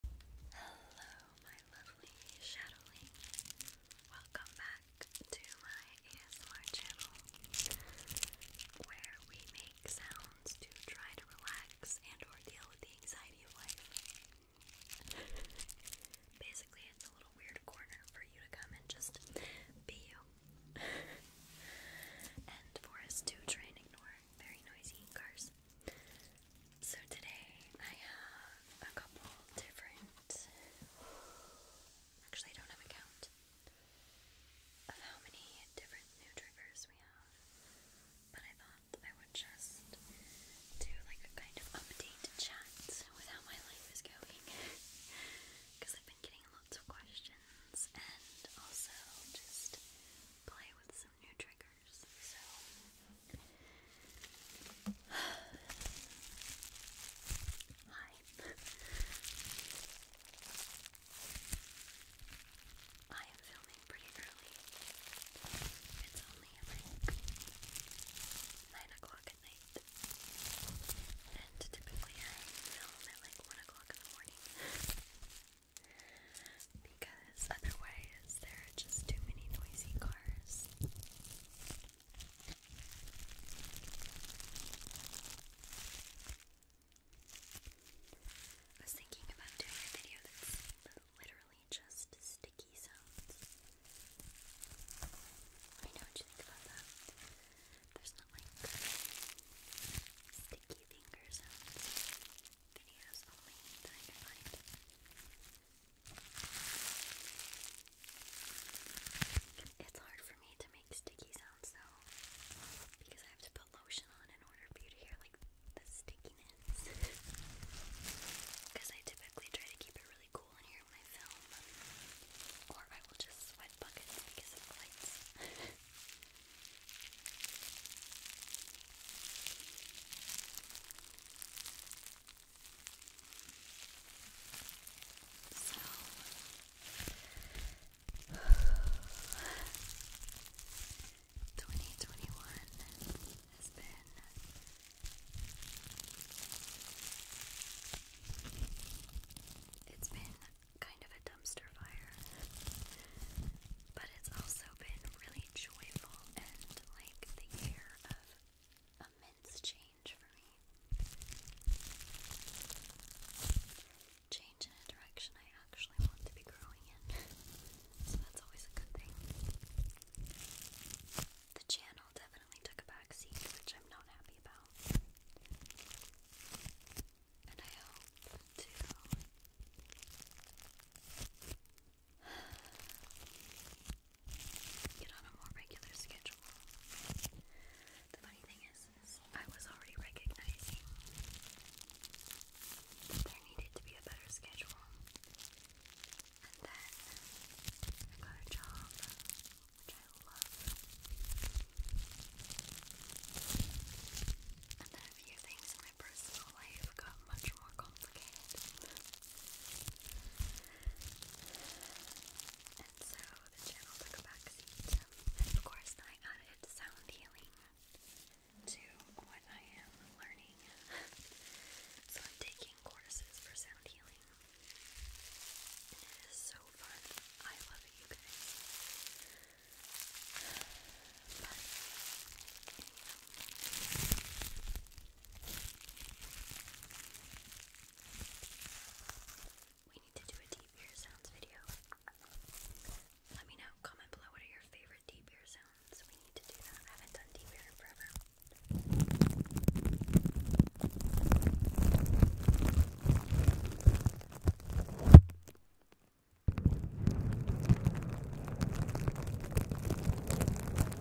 Hello, my lovely shadowling. Welcome back to my ASMR channel where we make sounds to try to relax and or deal with the anxiety of life. Basically, it's a little weird corner for you to come and just be you. and for us to try ignore very noisy cars. So today I have a couple different. Actually, I don't have a count of how many different new triggers we have, but I thought I would just do like a kind of update chat with how my life is going because I've been getting lots of questions and also just play with some new triggers. So, hi. I am filming pretty early. It's only like nine o'clock at night, and typically I film at like one o'clock in the morning because otherwise there are just too many noisy cars. I was thinking about doing a video that's literally just sticky sounds. Let me know what you think about that. There's not like sticky finger Videos only that I can find. It's hard for me to make sticky sounds though, because I have to put lotion on in order for you to hear like the stickiness. Because I typically try to keep it really cool in here when I film, or I will just sweat buckets because of the so twenty twenty one has been it's been kind of a dumpster fire. But it's also been really joyful and like the year of immense change for me. Change in a direction I actually want to be growing in. so that's always a good thing. The channel definitely took a backseat, which I'm not happy about. And I hope to get on a more regular schedule. The funny thing is, I was already recognizing that there needed to be a better schedule. And then I got a job, which I love. And then a few things in my personal life got much more complicated. And so the channel took a backseat. And of course, I added sound healing to what I am learning. so I'm taking courses for sound healing. it is so fun. I love it, you we need to do a deep ear sounds video. Let me know, comment below what are your favorite deep ear sounds. We need to do that. haven't done deep ear forever.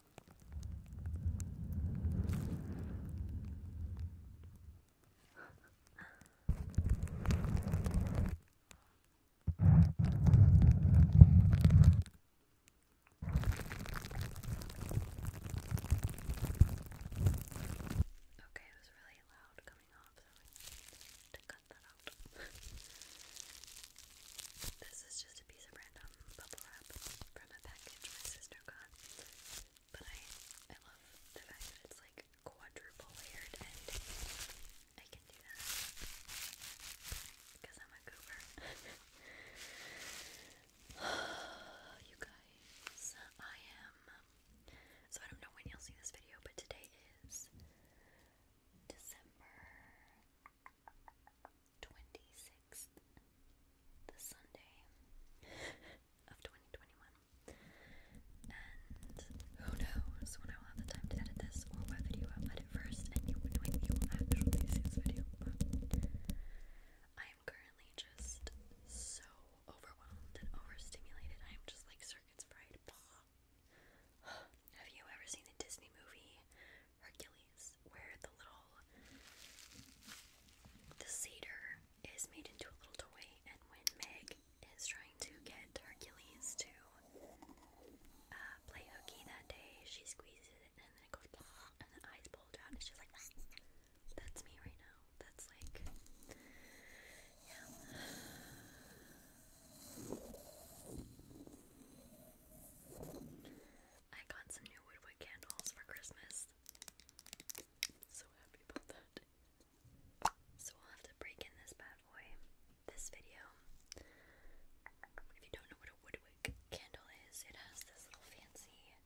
Okay, it was really loud coming off, so I to cut that out. this is just a piece of random bubble wrap from a package my sister got. But I I love the fact that it's like quadruple layered and I can do that. Because I'm a goober. you guys, I am so I don't know when you'll see this video, but today is December 26th, the Sunday of 2021. And who knows when I will have the time to edit this or what video I'll edit first, and you, when you will actually see this video. I am currently just so overwhelmed and overstimulated. I am just like circuits fried. Have you ever seen the Disney movie Hercules, where the little the cedar is made into a little toy, and when Meg is trying to get Hercules to uh, play hooky that day, she squeezes it, and then it goes and the eyes pulled out, and it's like ah, that's me right now. That's like yeah. I got some new woodwood candles for Christmas. So happy about that. So we'll have to break in this bad boy. This video. If you don't know what a woodwick candle is, it has this little fancy wick.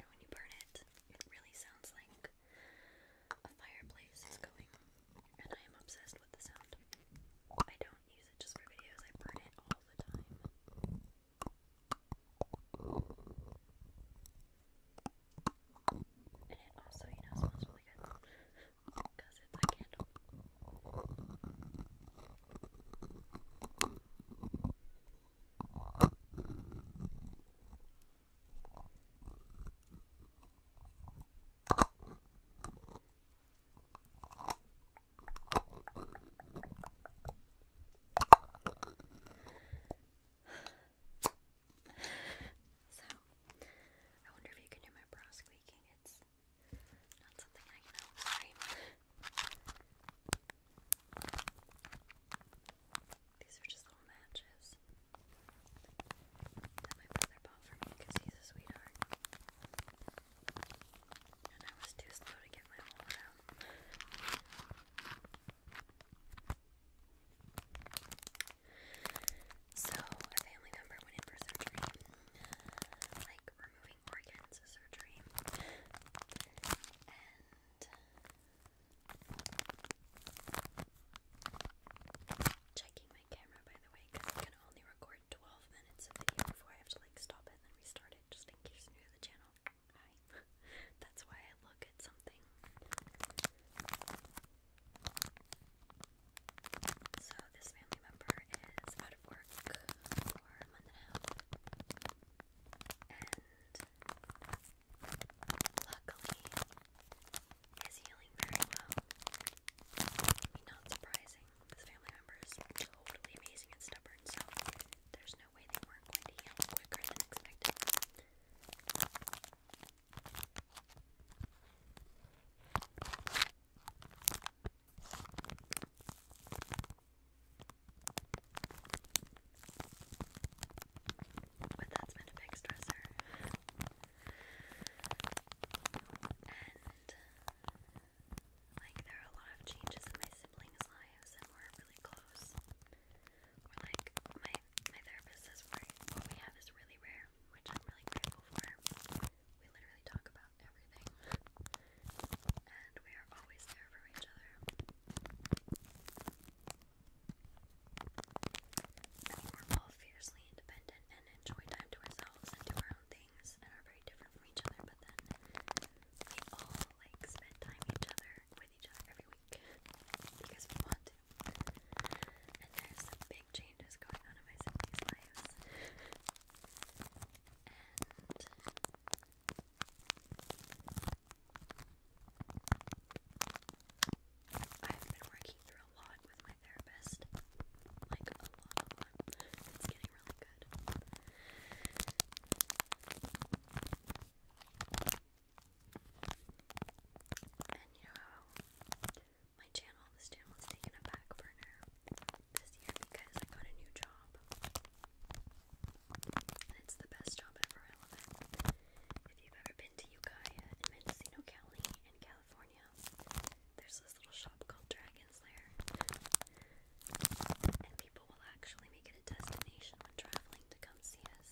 And when you burn it, it really sounds like a fireplace is going. And I am obsessed with the sound. I don't do use it just for videos, I burn it all the time. And it also, you know, smells really good because it's a candle. So, I wonder if you can hear my bra squeaking. It's not something I can help. These are just little matches that my brother bought for me because he's a sweetheart. I was too to So, a family member went in for surgery. Like, removing organs surgery. And checking my camera, by the way, because I can only record 12 minutes of video before I have to like stop it and restart it just in case you're new to the channel. Hi. That's why I look at something. So this family member is out of work for a month and a half. And luckily is healing very well. not surprising. His family member totally amazing and stubborn, so there's no way they weren't going to heal quicker than expected. But that's been a big stressor. And like, there are a lot of changes in my siblings' lives, and we're really close. We're like, my, my therapist says what we have is really rare, which I'm really grateful for. We literally talk about everything, and we are always there for each other. we're all fiercely independent and enjoy time to ourselves and do our own thing things and are very different from each other, but then we all like spend time with each other every week because we want to. And there's big changes going on in my siblings' lives. I've been working through a lot with my therapist. Like, a lot, a lot really you my channel, this channel is taking a back burner this year because I got a new job. it's the best job ever, I love it. If you've ever been to Ukiah in Mendocino County in California, there's a little shop called Dragon's Lair. And people will actually make it a destination when traveling to come see us.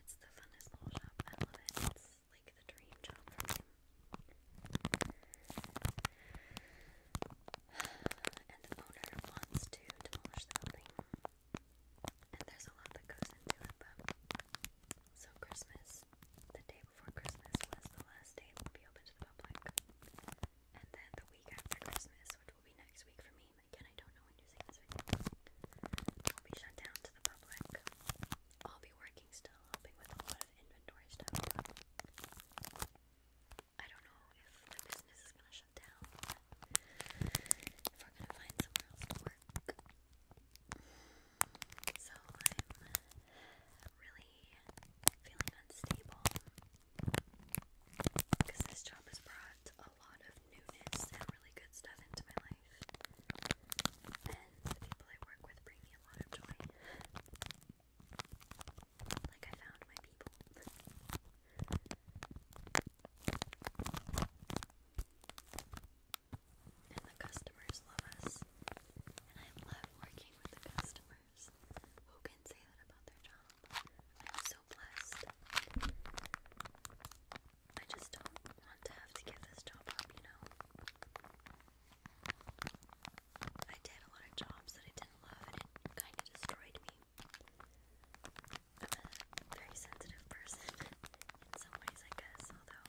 It's the funnest little shop. I It's like the dream job And the owner wants to demolish the And there's a lot that goes into it, but. So, Christmas, the day before Christmas, was the last day we'll be open the public. And then the week after Christmas, which will be next week for me, again, I don't know when you're will be shut down to the public. I'll be working still, helping with a lot of inventory stuff. I don't know if my business is gonna shut down, if we're gonna find somewhere else to work. So I'm really feeling unstable because this job has brought a lot of newness and really good stuff into my life, and the people I work with bring me a lot of joy. Like, I found my people. And the customers love us. And I love working with the customers who can say that about their job. I'm so blessed. I just don't want to have to give this job you know? I did a lot of jobs that I didn't love and it kind of destroyed me. I'm a very sensitive person in some ways, I guess, although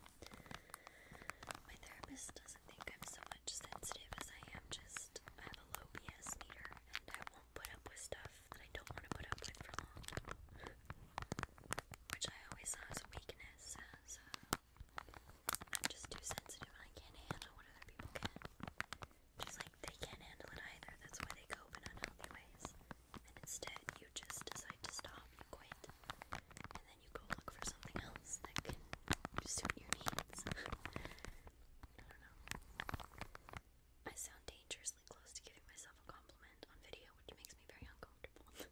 my therapist doesn't think I'm so much sensitive as I am, just I have a low BS meter and I won't put up with stuff that I don't want to put up with for long. Which I always saw as a weakness, as uh, I'm just too sensitive and I can't handle what other people can. Just like they can't handle it either, that's why they cope in unhealthy ways. And instead, you just decide to stop, you quit, and then you go look for something else that can suit your needs. I sound dangerously close to giving myself a compliment on video, which makes me very uncomfortable. But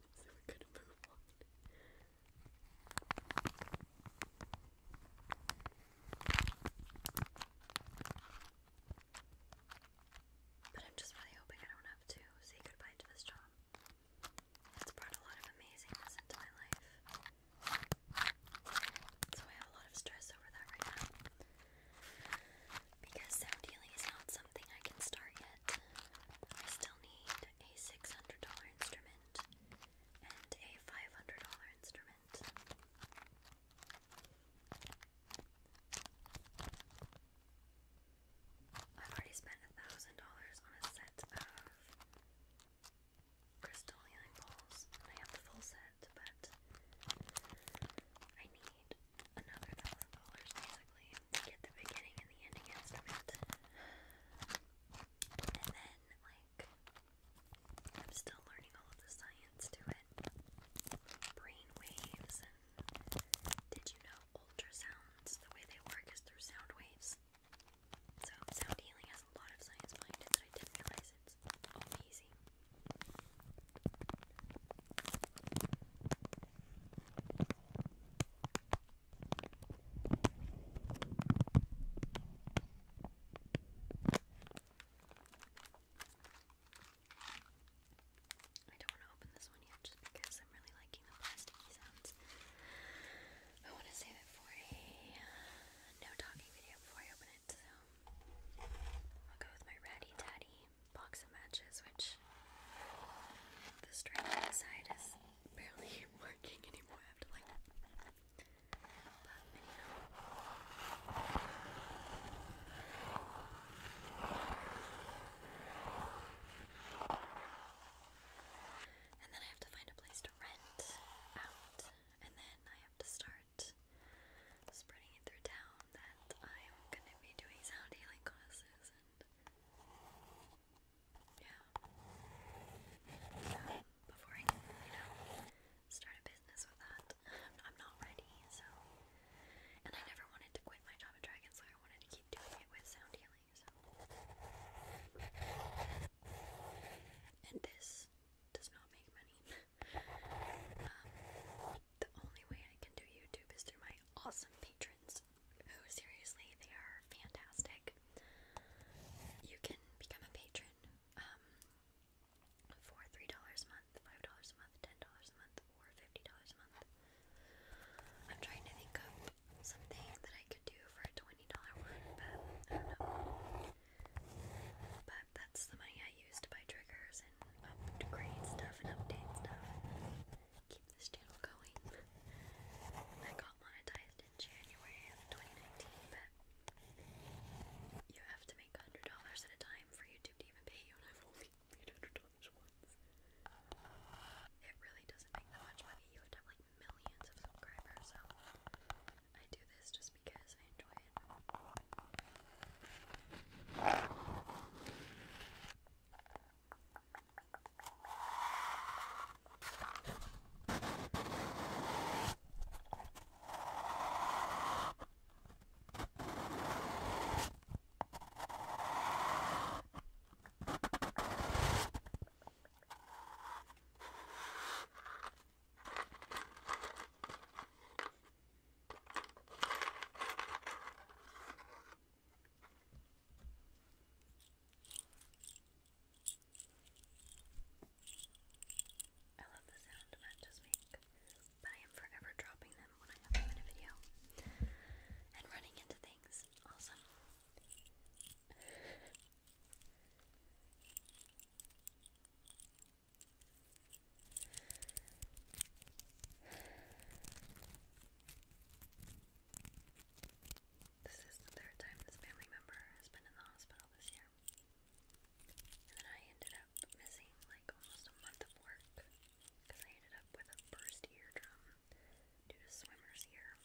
I'm just really hoping I don't have to say goodbye to this job. It's brought a lot of amazingness into my life. So I have a lot of stress over that right now. Because sound healing is not something I can start yet. I still need a $600 instrument and a $500 instrument. I've already spent $1,000 on a set of crystal balls. I have the full set, but I need another thousand dollars basically to get the beginning and the ending instrument. And then, like, I'm still learning all of the science to it. Brain waves did you know ultrasounds? The way they work is through sound waves. So sound healing has a lot of science behind it that I didn't realize it's amazing. I don't want to open this one yet just because I'm really liking the plasticky sounds. I want to save it for a uh, no talking video before I open it, so I'll go with my ratty tatty box of matches, which the string on is barely working anymore. I have to like And then I have to find a place rent out, and then I have to start spreading it through town that I'm gonna be doing sound healing classes and yeah. Um, before I, you know, start a business with that, I'm not ready. So, and I never wanted to quit my job at Dragon, so I wanted to keep doing it with sound healing. And this does not make money. Um, the only way I can do YouTube is through my awesome patrons, who seriously, they are fantastic. You can become a patron um, for $3 a month, $5 a month, $10 a month, or $50 a month. I'm trying to think of something that I could do for a $20 one, but I don't know. But that's the money I use to buy triggers and upgrade stuff and update stuff. Keep this channel going. I got monetized in January of 2019, but you have to make $100 at a time for YouTube to even pay you, and I've only made $100 once. It really doesn't make that much money. You have millions of subscribers, so I do this just because I enjoy it. I love the sound matches make, but I am forever dropping them when I have a video and running into things. Awesome. This is the third time this family member has been in the hospital this year. And then I ended up missing like almost a month of work because I ended up with a burst eardrum due to swimmer's ear.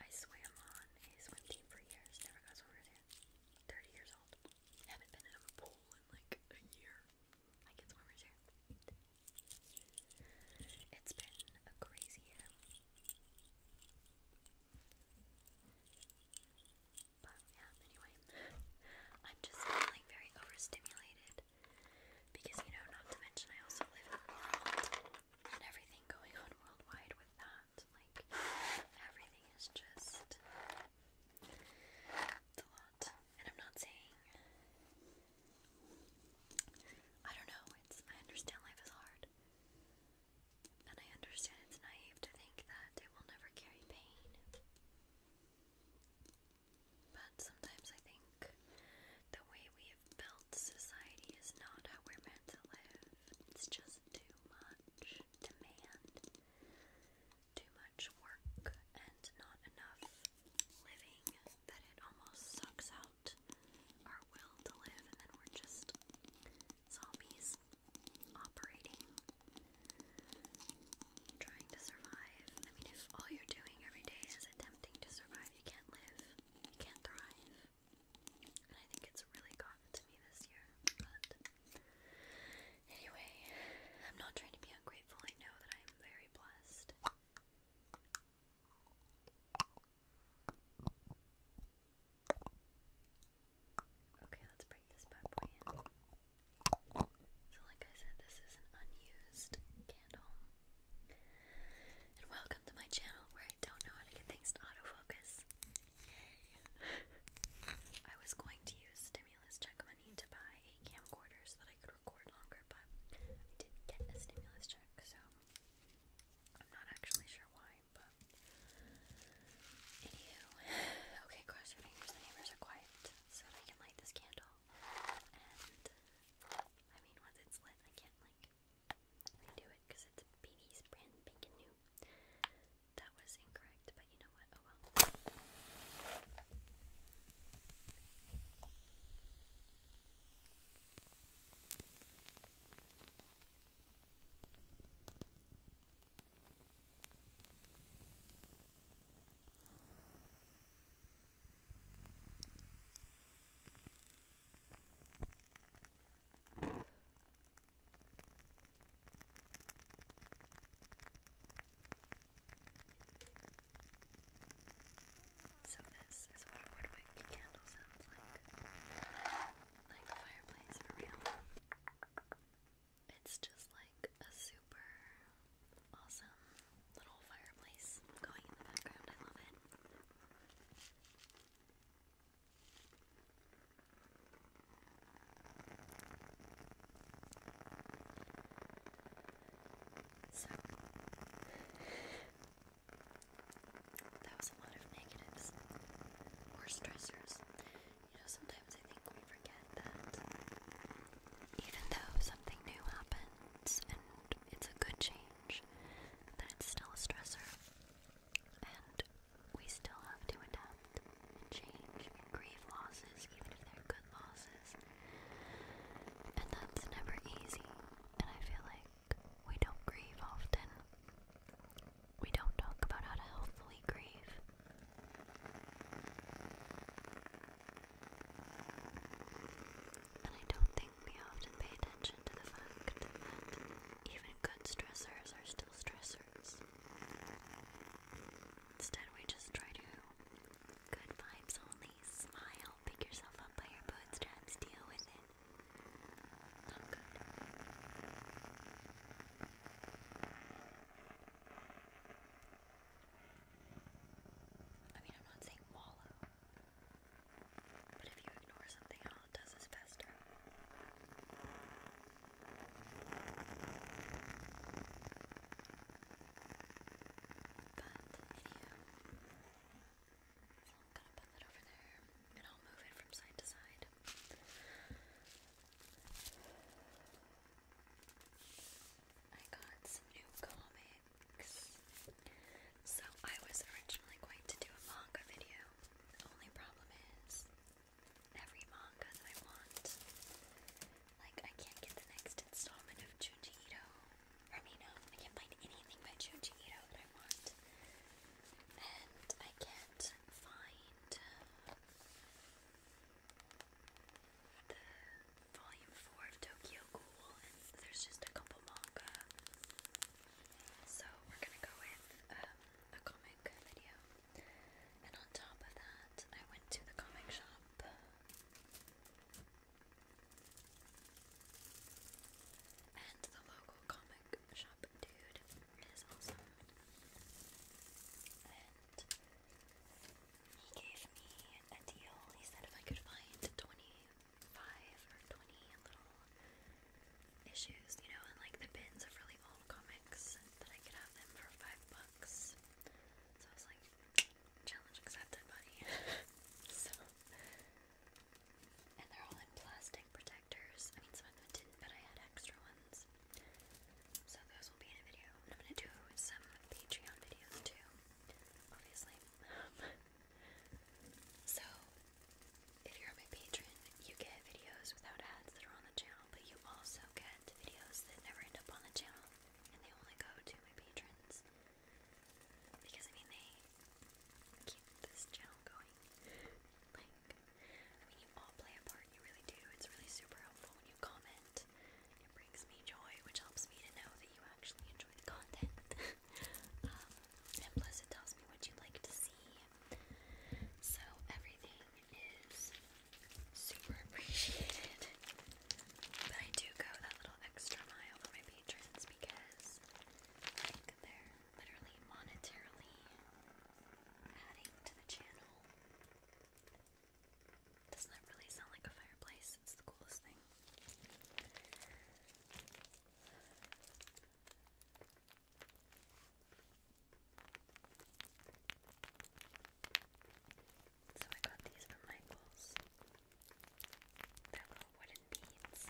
I swam on a swim team for years, never got swimmer's hands. 30 years old. Haven't been in a pool in like a year. I get swimmer's hands. It's been a crazy year. But yeah, anyway, I'm just feeling very overstimulated because, you know, not to mention I also live in the world and everything going on worldwide with that. Like, everything is just. a lot. And I'm not saying. I don't know, it's. I understand life is hard. And I understand it's naive to think that it will never carry pain sometimes I think the way we have built society is not how we're meant to live. It's just too much demand, too much work, and not enough living that it almost sucks out our will to live, and then we're just zombies operating, trying to survive. I mean, if all you're doing every day is attempting to survive, you can't live you can thrive. And I think it's really gotten to me this year. But anyway, I'm not trying to be ungrateful. I know that I am very blessed. Okay, let's break this bad So, like I said, this is an unused candle. And welcome to my channel where I don't know how to get things to autofocus. I was going to use stimulus check money to buy a camcorder so that I could record longer, but I didn't get a stimulus check, so I'm not actually sure why, but anywho. Okay, cross your fingers the neighbors are quiet so that I can light this candle. And I mean once it's lit I can't like redo it because it's BB's brand new. That was incorrect, but you know what? Oh well. So this is what a woodwick candle sounds like. Like a fireplace for real. It's just like a super awesome little fireplace going in the background. I love it. So that was a lot of negatives or stressors. You know, sometimes I think we forget that even though something new happens and it's a good change, change, that's still a stressor. And we still have to adapt and change and grieve losses, even if they're good losses. And that's never easy. And I feel like we don't grieve often. We don't talk about how to healthfully grieve. And I don't think we often pay attention to the fact that even good stressors are still stressors. Instead, we just try to good vibes only, smile, pick yourself up by your bootstraps, deal with it. I mean, I'm not saying wallow. But if you ignore something, all it does is faster. But, I'm gonna put that over there and I'll move it from side to side. I got some new so I was originally going to do a manga video. The only problem is every manga I want, like I can't get the next installment of Junji Ito. Or me, no, I can't find anything by Junji Ito that I want. And I can't find uh, the volume 4 of Tokyo Ghoul, there's just a couple manga so we're gonna go with um, a comic video, and on top of that, I went to the comic shop. And the local comic shop dude is awesome. And he gave me a deal. He said if I could find 20 five or twenty little issues, you know, and like the bins of really old comics that I could have them for five bucks. So I was like, challenge accepted, buddy. so, and they're all in plastic protectors. I mean, some of them didn't, but I had extra ones. So those will be in a video. And I'm gonna do some Patreon videos too, obviously. So, if you're my patron, you get videos without ads that are on the channel, but you also get videos that never end up on the channel, and they only go to my patrons. Because, I mean, they keep this channel going. I mean, you all play a part, you really do. It's really super helpful when you comment. It brings me joy, which helps me to know that you actually enjoy the content. Um, and plus, it tells me what you like to see. So, everything is super appreciated. But I do go that little extra mile for my patrons because they're literally monetarily adding to the channel. Doesn't really sound like a fireplace? It's the coolest thing. So I got these from Michaels. They're little wooden beads.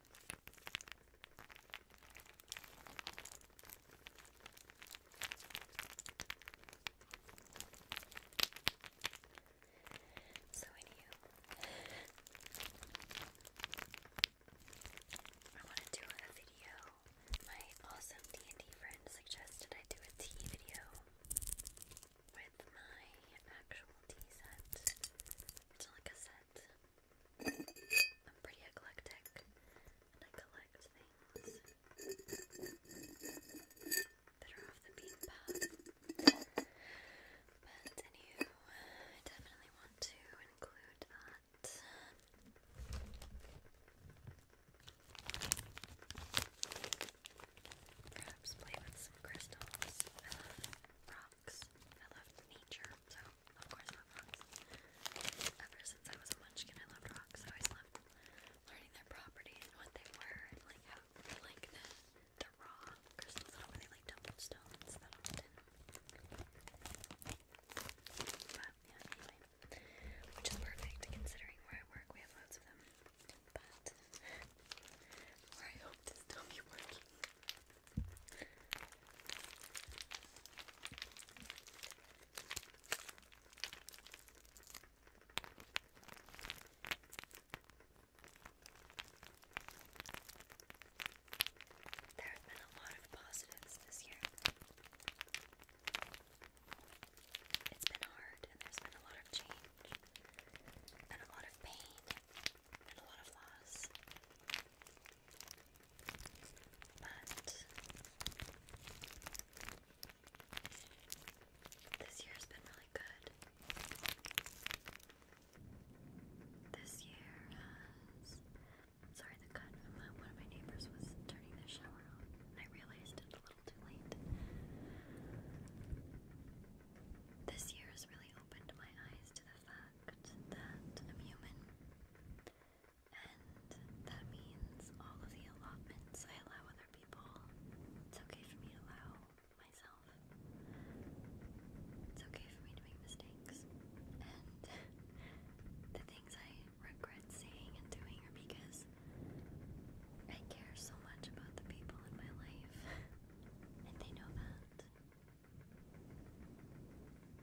So, anywho, I want to do a video. My awesome D and D friend suggested I do a tea video with my actual tea set. like a set that I'm pretty eclectic and I collect things that are off the beaten path. But anywho, I definitely want to include that. Perhaps play with some crystals. I love rocks. I love nature, of course, rocks. Ever since I was a munchkin, I loved rocks. I always loved learning their properties and what they were, and like how, like the, the raw crystals that are really like tumbled stones But yeah, anyway, which is perfect considering where I work. We have loads of them, but. I hope to still be working. There have been a lot of positives this year. It's been hard, and there's been a lot of change, and a lot of pain, and a lot of loss. But this year has been really good. This year has. Sorry, the cut. one of my neighbors was turning their shower on, I realized it a little too late. This year has really opened my eyes to the fact that I'm human and that means all of the allotments I allow other people, it's okay for me to allow myself. It's okay for me to make mistakes, and the things I regret saying and doing are because I care so much about the people in my life, and they know that.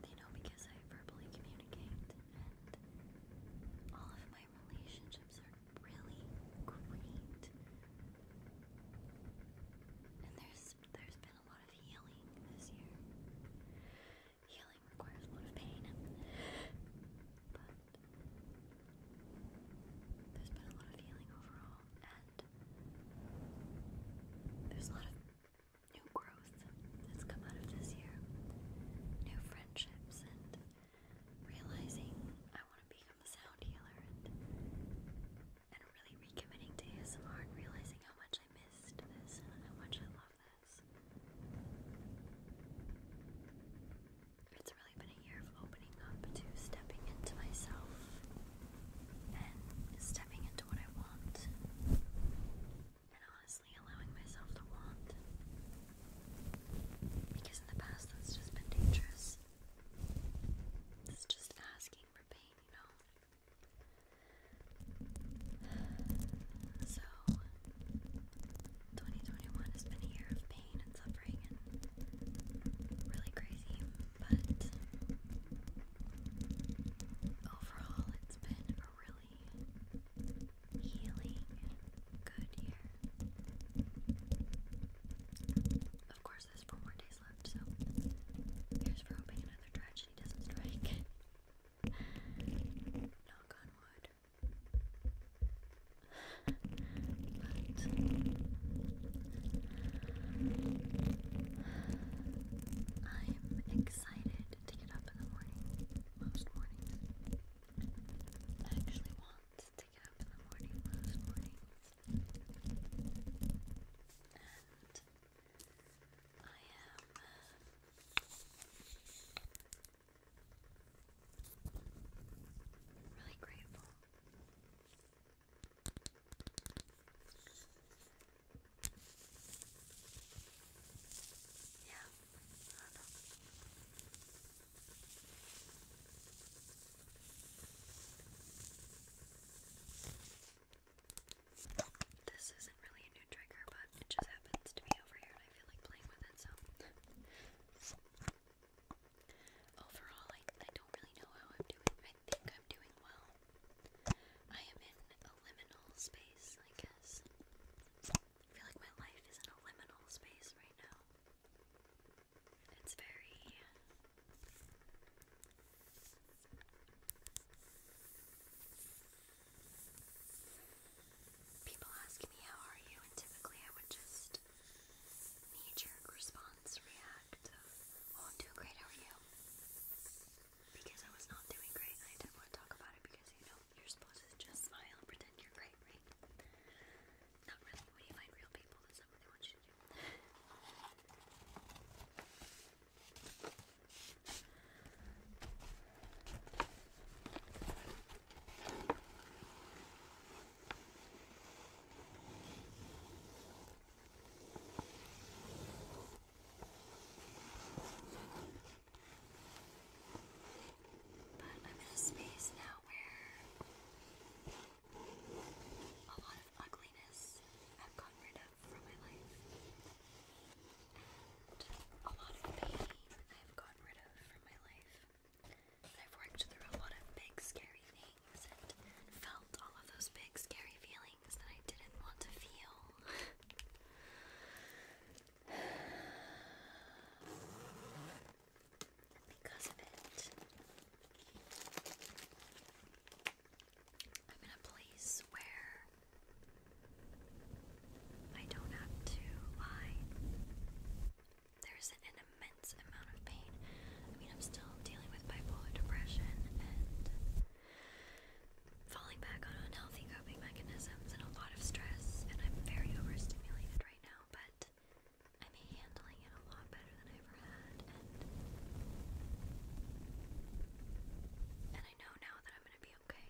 You know, because I verbally communicate and all of my relationships are really great. And there's there's been a lot of healing this year. Healing requires a lot of pain. But there's been a lot of healing overall and there's a lot of new growth that's come out of this year, new friendships, and realizing I want to become a sound healer and, really recommitting to ASMR and realizing how much I missed this and how much I love this. It's really been a year of opening up to stepping into myself and stepping into what I want and honestly allowing myself to want. Because in the past that's just been dangerous. It's just asking for pain, you know? So, 2021 has been a year of pain and suffering and really crazy, but overall, it's been really healing, good year. Of course, there's four more days left, so here's for hoping another tragedy doesn't strike. Knock on wood. But I'm excited excited to get up in the morning, most mornings. I actually want to get up in the morning, most mornings. And I am. Really grateful yeah, I know. This isn't really a new trigger, but it just happens to be over here and I feel like playing with it, so. Overall, I, I don't really know how I'm doing. I think I'm doing well. I am in a liminal space, I guess. I feel like my life is in a liminal space right now. It's very. People ask me, How are you? And typically I would just knee response, react. Oh, I'm doing great, how are you? because I was not doing great I didn't want to talk about it because you know you're supposed to just smile and pretend you're great, right? Not really. When you find real people, that's not what you do. But I'm in a space now where a lot of ugliness I've gotten rid of from my life, and a lot of pain I've gotten rid of from my life. I've worked through a lot of big, scary things and felt all of those big, scary feelings that I didn't want to feel. because of it, I'm in a place where I don't have to lie. There's an immense amount of pain. I mean, I'm still dealing with bipolar depression and falling back on unhealthy coping mechanisms and a lot of stress, and I'm very overstimulated right now, but I'm handling it a lot better than I ever had, and, I know now that I'm going to be okay,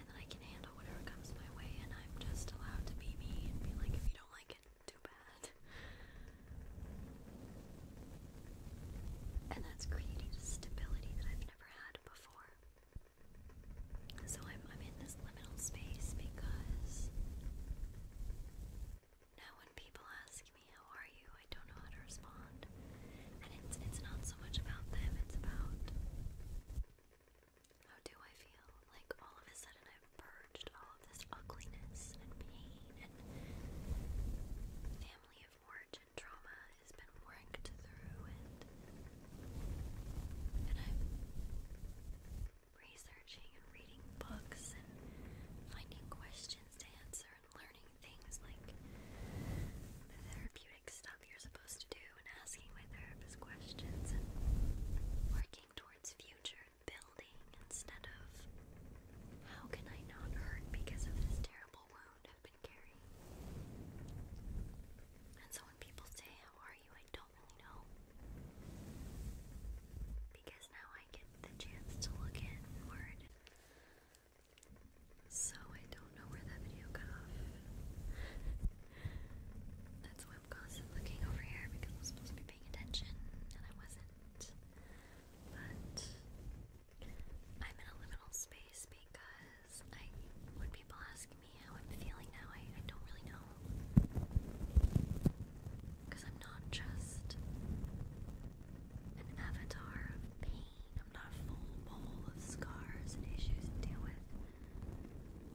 and that I can handle whatever comes my way, and I'm just allowed to be me and be like, if you don't like it, too bad. And that's created a stability that I've never had before. So I'm, I'm in this liminal space because now when people ask me how are you, I don't know how to respond. And it's it's not so much about them, it's about how do I feel? Like all of a sudden I've purged all of this ugliness and pain and family of origin ancient trauma has been worked through and and I'm researching and reading books and finding questions to answer and learning things like the therapeutic stuff you're supposed to do and asking my therapist questions and working towards future and building instead of how can I not hurt because of this terrible wound up and so when people say, How are you? I don't really know. Because now I get the chance to look inward. So I don't know where that video got off. That's why I'm constantly looking over here because I was supposed to be paying attention and I wasn't. But I'm in a liminal space because I, when people ask me how I'm feeling now, I, I don't really know. Because I'm not just an avatar of pain, I'm not a full bowl of scars and issues to deal with.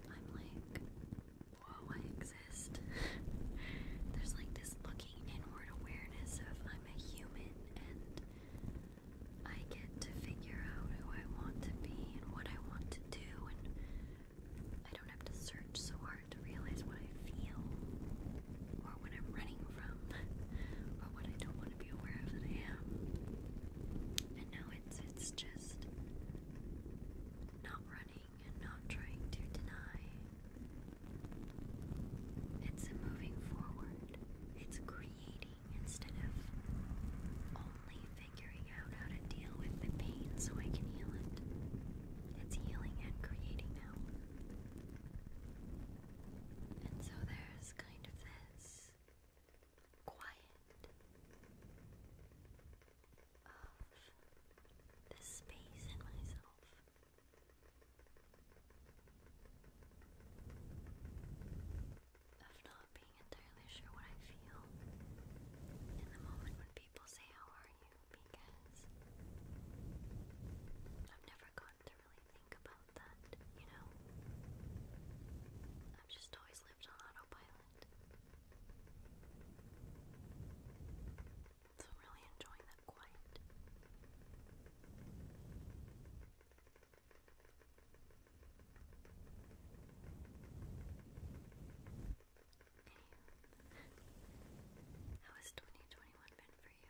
I'm like, whoa, I exist. There's like this looking inward awareness of I'm a human and I get to figure out who I want to be and what I want to do, and I don't have to search so hard to realize what I feel or what I'm running from or what I don't want to be aware of that I am. And now it's it's just not running and not trying to deny. It's moving forward. It's creating instead of only figuring out how to deal with the pain so I can heal it. It's healing and creating now. And so there's kind of this quiet of this space in myself of not being entirely sure what I feel in the moment when people say, How are you? because I've never gotten to really think about that, you know? I've just always lived on autopilot. So, I'm really enjoying that quiet. Anywho, how has 2021 been for you?